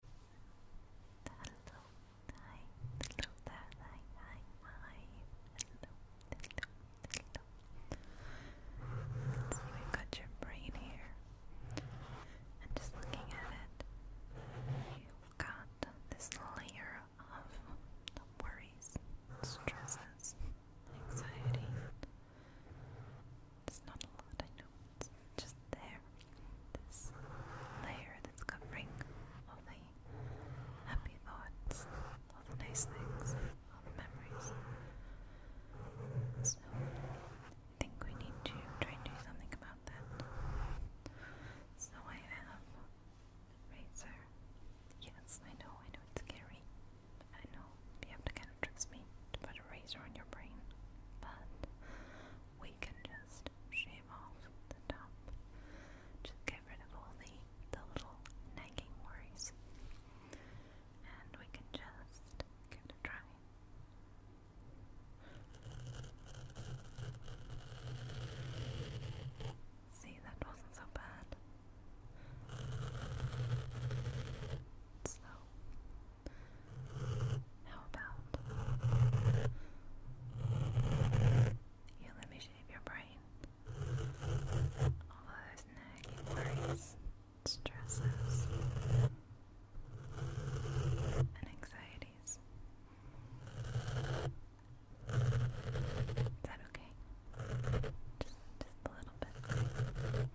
Hello, hi, Let's see, we've your brain here. And just looking at it, you've got this layer of worries, stresses, anxiety. It's not a lot, I know, it's just there this layer that's covering all the happy thoughts, all the nice things, all the memories. So, I think we need to try and do something about that. So, I have razor. Yes, I know, I know it's scary. I know you have to kind of trust me to put a razor on your brain, but we can just shave off the top. Just get rid of all the, the little nagging worries. And we can just give it a try. See, that wasn't so bad. So, how about you let me shave your brain? All those nagging worries, stresses, and anxieties. Is that okay? Just, Just a little bit.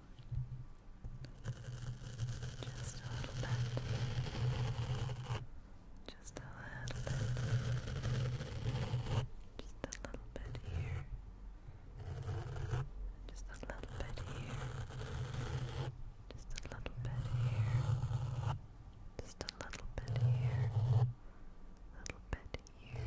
Just a little bit. Just a little Just a little bit here. Just a little bit here. Just a little bit here. Just a little bit here. Little bit here.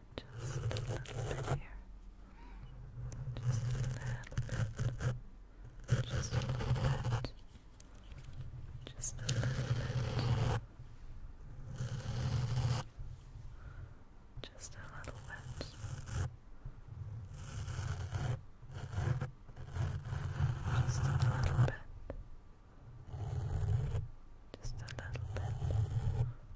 just a little bit here. Just a little Just a little Just a little bit. Just a little bit. Just a little bit. Just a little bit.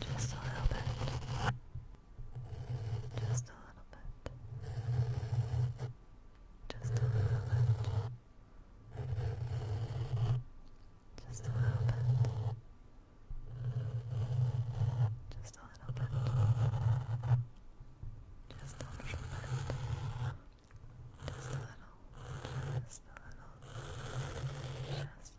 Just a little bit. Just a little bit. Just a little bit. Just a little bit. Just a little bit. Just a little bit. Just a little. Just a little. Just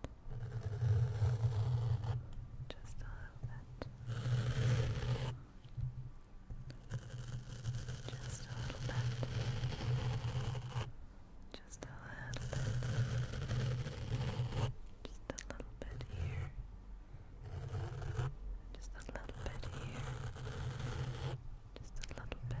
bit. Just a little bit. Just a little bit. Just a little little Just a little bit here. Just a little bit here. Just a little bit here.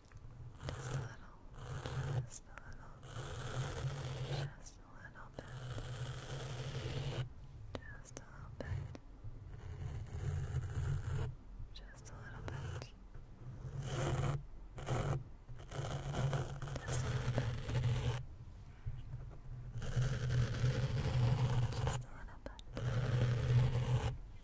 Just a little, just a little, just a little bit, just a little bit, just a little bit, just a little bit. Just a little bit.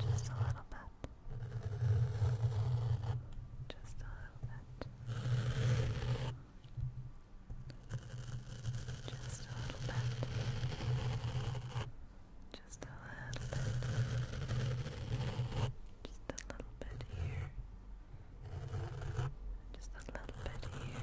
Just a little bit. Just a little bit. Just a little bit. Just a little bit. Just a little bit here. Just a little bit here.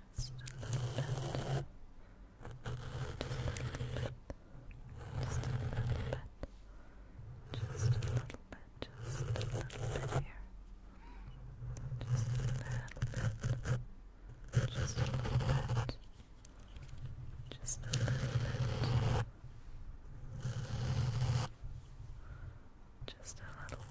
just a little bit. Just a little bit. Just a little bit. Just a little bit. Just a little bit here. Just a little bit. Just a little bit. Just a little bit. Just a little bit.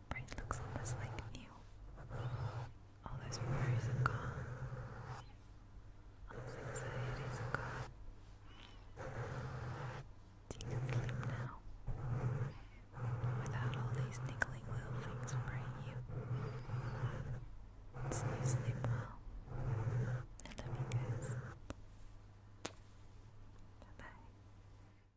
Your brain looks almost like new. All those worries are gone. All those anxieties are gone. You can sleep now. Without all these niggling little things worrying you. sleep well. I love you Bye bye.